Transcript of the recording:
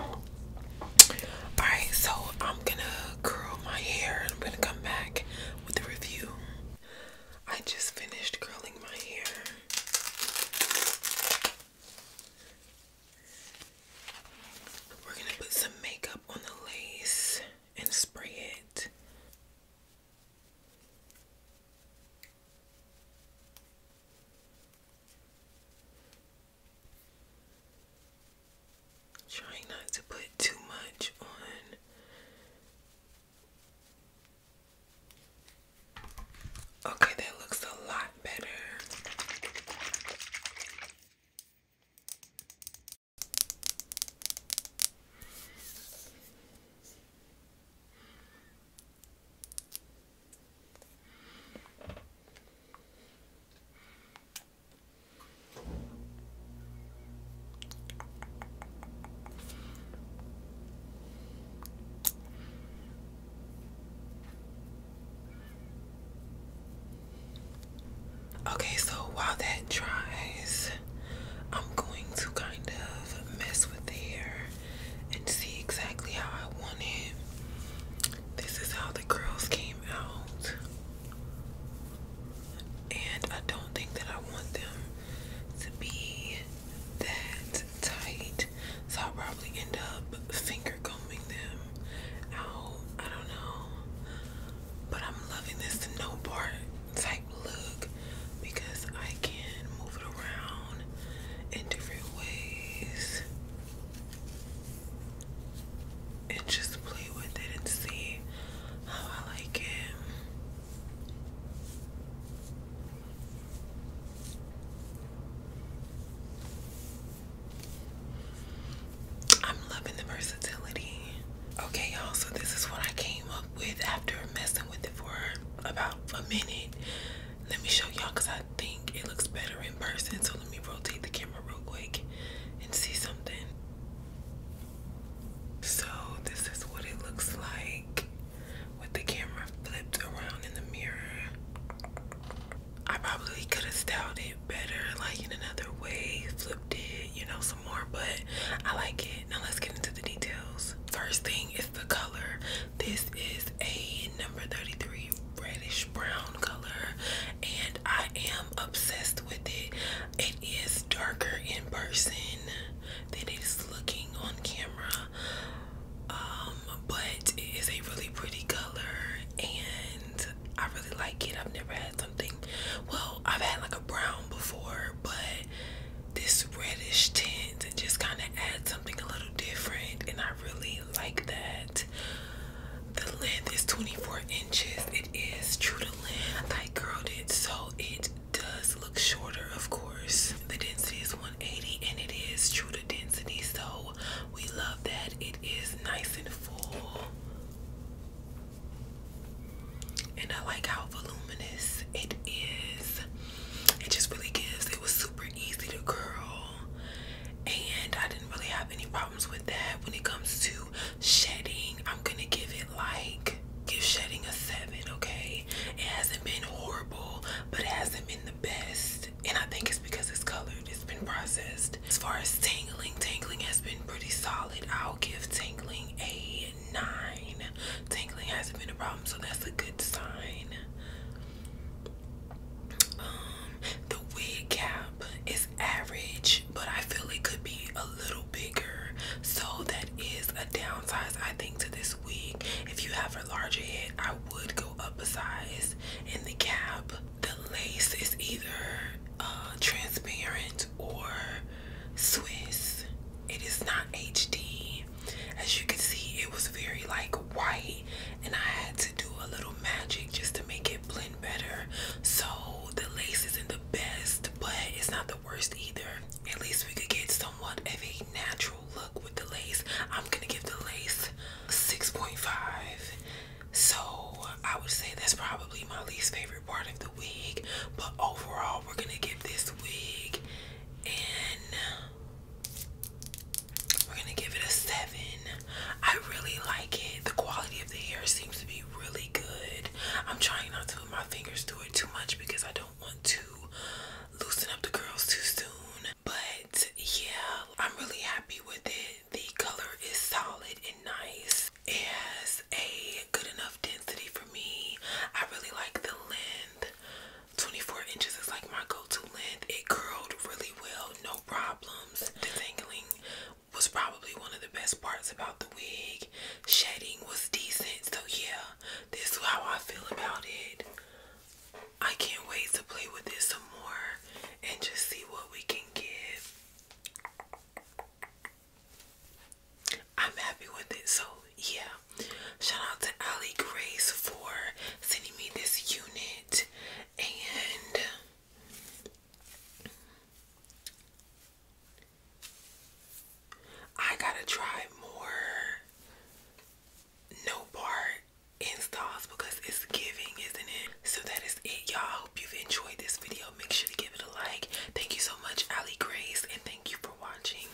Alright, so I'm gonna curl my hair and I'm gonna come back with a review. I just finished curling my hair. We're gonna put some makeup on the lace and spray it. Trying not to put too much on. Okay, that looks a lot better. Okay, so while that dries, I'm going to kind of mess with the hair and see exactly how I want it. This is how the curls came out. And I don't think that I want them to be that tight. So I'll probably end up finger combing them out. I don't know. But I'm loving this no part type look because I can move it around in different ways and just play with it and see how I like it. I'm loving the versatility. Okay, y'all, so this is what I came up with after messing with it for about a minute. Let me show y'all because I think it looks better in person. So let me rotate the camera real quick and see something. So this is what it looks like with the camera flipped around in the mirror. I probably could have styled it better, like in another way, flipped it, you know, some more, but I like it. Now let's get into the details. First thing is the color. This is a number 33 reddish brown color, and I am obsessed with it. It is darker in person than it is looking on camera, um, but it is a really pretty color, and I really like it. I've never had something, well, I've had like a brown before, but this reddish tint just kind of add something a little different. And I really like that. The length is 24 inches. It is true to length. I curled it so it does look shorter, of course. The density is 180 and it is true to density. So we love that. It is nice and full. And I like how voluminous it is it just really gives. It was super easy to curl, and I didn't really have any problems with that. When it comes to shedding, I'm gonna give it like give shedding a seven. Okay, it hasn't been horrible, but it hasn't been the best, and I think it's because it's colored. It's been processed. As far as tangling, tangling has been pretty solid. I'll give tangling a nine. Tangling hasn't been a problem, so that's a good sign. Um, the wig cap is average, but I feel it could be a little bigger. So that is a downsize, I think, to this wig. If you have a larger head, I would go up a size in the cap. The lace is either uh, transparent or Swiss. It is not HD. As you can see, it was very like white, and I had to do a little magic just to make it blend better. So the lace isn't the best, but it's not the worst either. At least we could get somewhat of a natural look with the lace. I'm gonna give the lace 6.5. So I would say that's probably my least favorite part of the wig, but overall, we're gonna give this wig an we're gonna give it a seven. I really like it. The quality of the hair seems to be really good. I'm trying not to put my fingers through it too much because I don't want to loosen up the curls too soon. But yeah, I'm really happy with it. The color is solid and nice. It has a good enough density for me. I really like the length. 24 inches is like my go-to length. It curled really well, no problems. Detangling was probably one of the best parts about the wig. Shedding was decent, so yeah, this is how I feel about it. I can't wait to play with this some more and just see what we can get. I'm happy with it, so yeah. Shout out to Ali Grace for sending me this unit and I gotta try more no part installs because it's giving, isn't it? So that is it, y'all. Hope you've enjoyed this video. Make sure to give it a like. Thank you so much, Ali Grace, and thank you for watching.